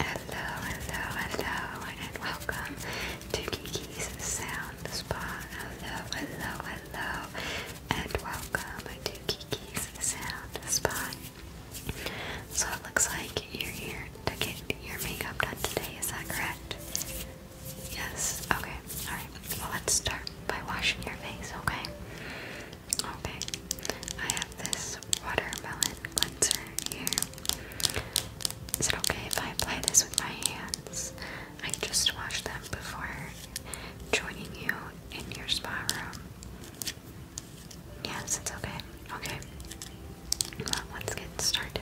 Hello, hello, hello, and welcome to Kiki's Sound Spa. Hello, hello, hello, and welcome to Kiki's Sound Spa. So it looks like you're here to get your makeup done today, is that correct? Yes, okay, alright. Well, let's start by washing your face, okay? Okay, I have this watermelon cleanser here. Is it okay if I apply this with my hands? I just washed them before joining you in your spa room. Yes, it's okay. Okay. let's get started.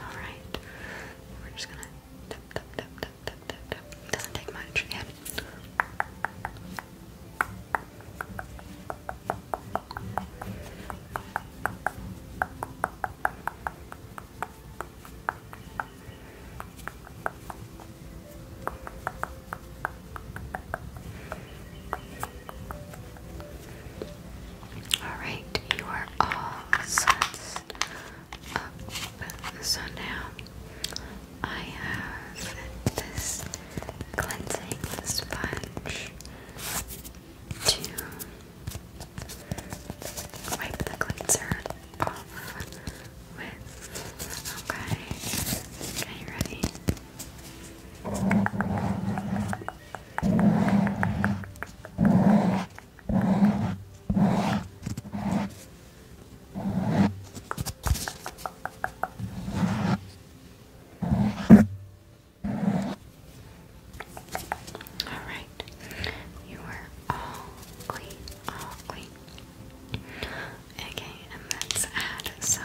Alright, we're just gonna tap, tap, tap, tap, tap, tap, tap. doesn't take much, Alright, you are all set up. So now I have this cleansing sponge to wipe the cleanser off Okay. Okay, ready? All right, you are all clean, all clean. Okay, and let's add some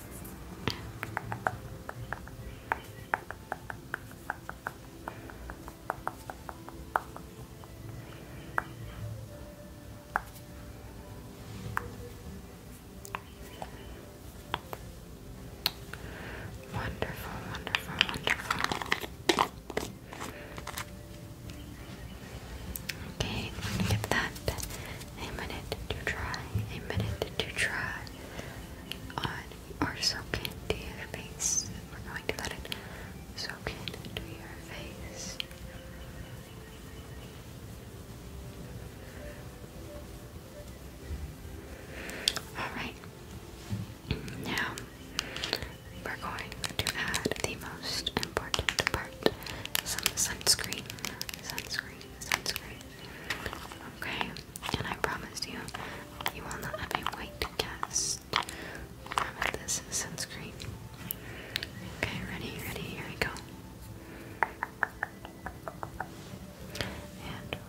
Wonderful, wonderful, wonderful. Okay, I'm going that a minute to try, a minute to try on or soak into your face. We're going to let it soak into your face. Alright, now we're going to add the most important part some sunscreen. Sunscreen, sunscreen, Okay, and I promise you, you will not have a white cast from this sunscreen. Okay, ready, ready, here we go. And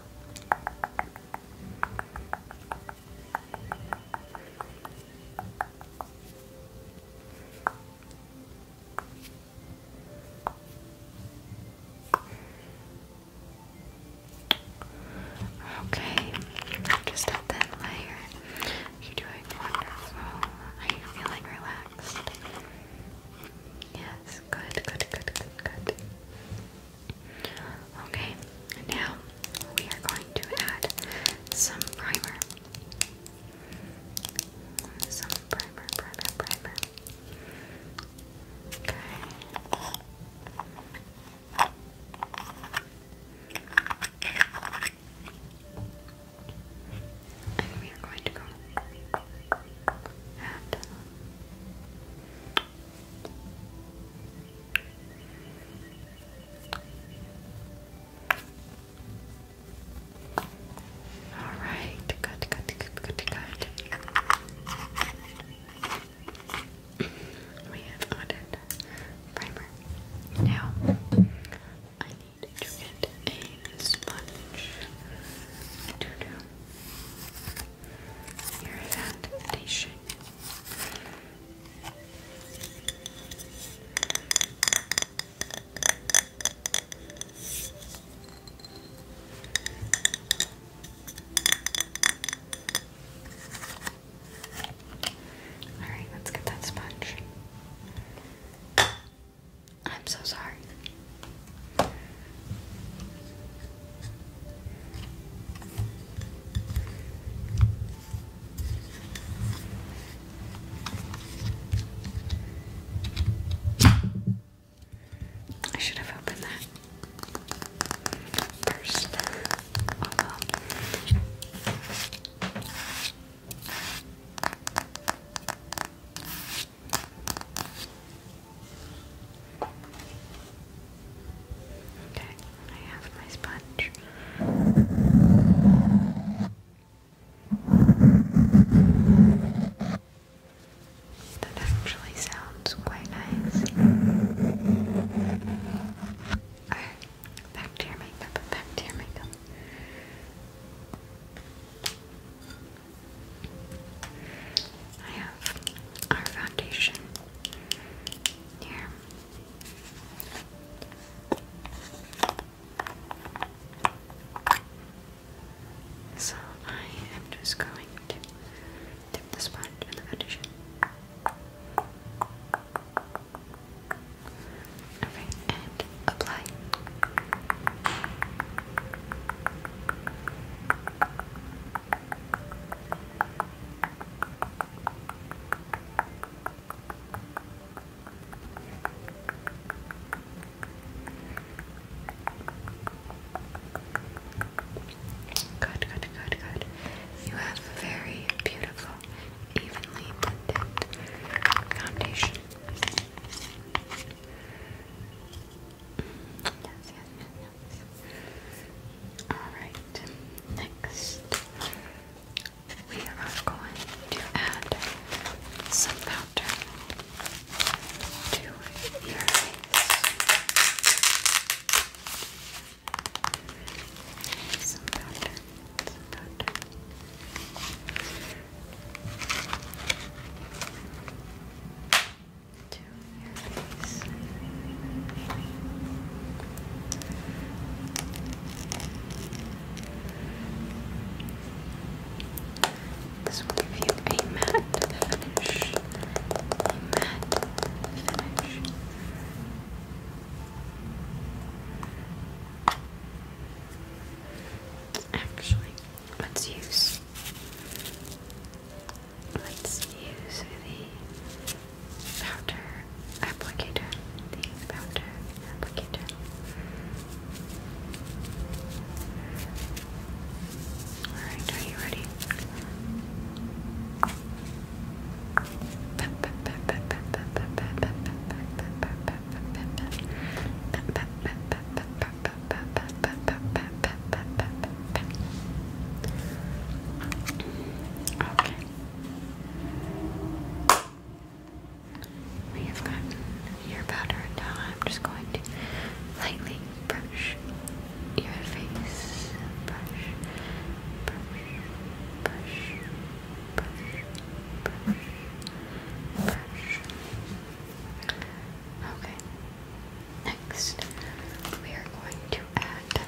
Okay, just up that layer. You're doing wonderful. Are you feeling relaxed? Yes, good, good, good, good. Okay, now we are going to add some primer. Some primer, primer, primer. Okay. And we are going to go all right, good, good, good, good, good. we have added primer. Now, I need to get a sponge to do your foundation. All right, let's get that sponge. I'm so sorry. I should have opened that first. Okay, I have my sponge. That actually sounds quite nice. Alright, back to your makeup, back to your makeup. I have our foundation here. So I am just going to dip the sponge in the foundation. and apply. Good, good, good, good. You have very beautiful, evenly blended foundation. Yes, yes, yes, yes. Alright, next we are going to add some powder to your face. Some powder, some powder. To your face. This will give you a matte finish. A matte finish. Actually, let's use let's use the powder applicator. The powder Alright, are you ready? Okay. We have gotten your powder and now I'm just going to lightly brush your face. Brush, brush, brush, brush, brush, brush. Okay. Next, we are going to add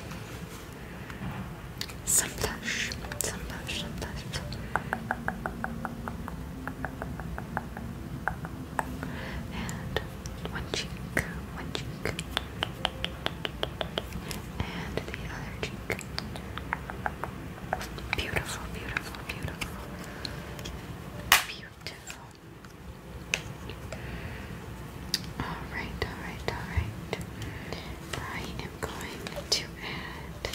some blush, some blush, some blush and one cheek, one cheek, and the other cheek. Beautiful, beautiful, beautiful, beautiful. All right, all right, all right. I am going to add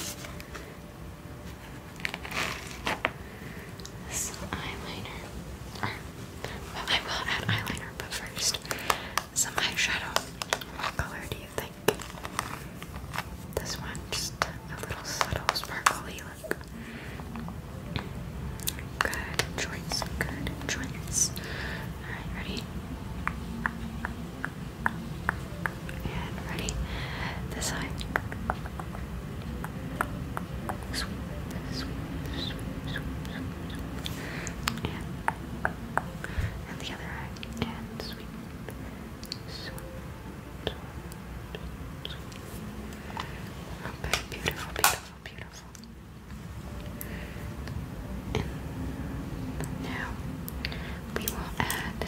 some eyeliner. I will add eyeliner, but first, some eyeshadow. What color do you think? This one, just a little subtle, sparkly look. Good joints. good choice. Alright, ready? And ready? This side. Sweep, sweep, sweep, sweep, sweep. And, and the other eye. And sweep, sweep, sweep, sweep. Okay, beautiful, beautiful, beautiful. And now we will add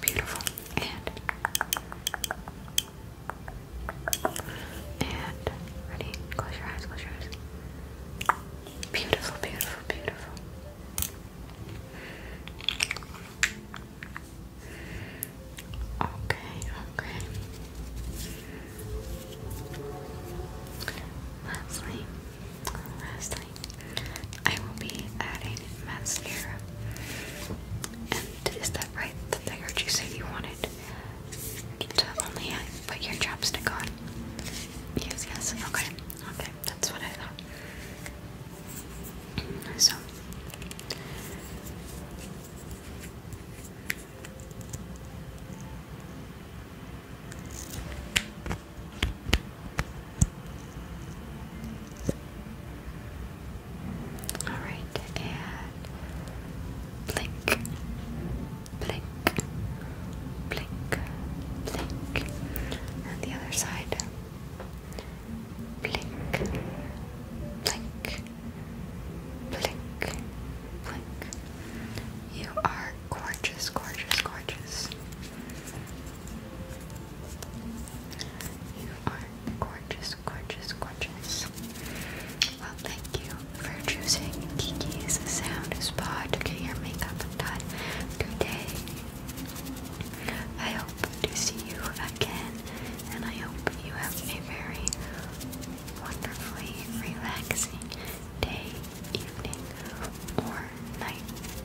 Beautiful. And and ready? Close your eyes, close your eyes. Beautiful, beautiful, beautiful. Okay, okay. Lastly, lastly, I will be adding mascara. And is that right? The thing that you say you wanted to only put your chapstick on? Yes, yes. Okay, okay. That's what I thought. So. Alright, and blink, blink, blink, blink. And the other side. Blink, blink, blink, blink. You are gorgeous, gorgeous, gorgeous. You are gorgeous, gorgeous, gorgeous. Well, thank you for choosing Kiki's Sound Spa to get your makeup done today. I hope to see you again, and I hope you have a very wonderfully relaxing day, evening, or night.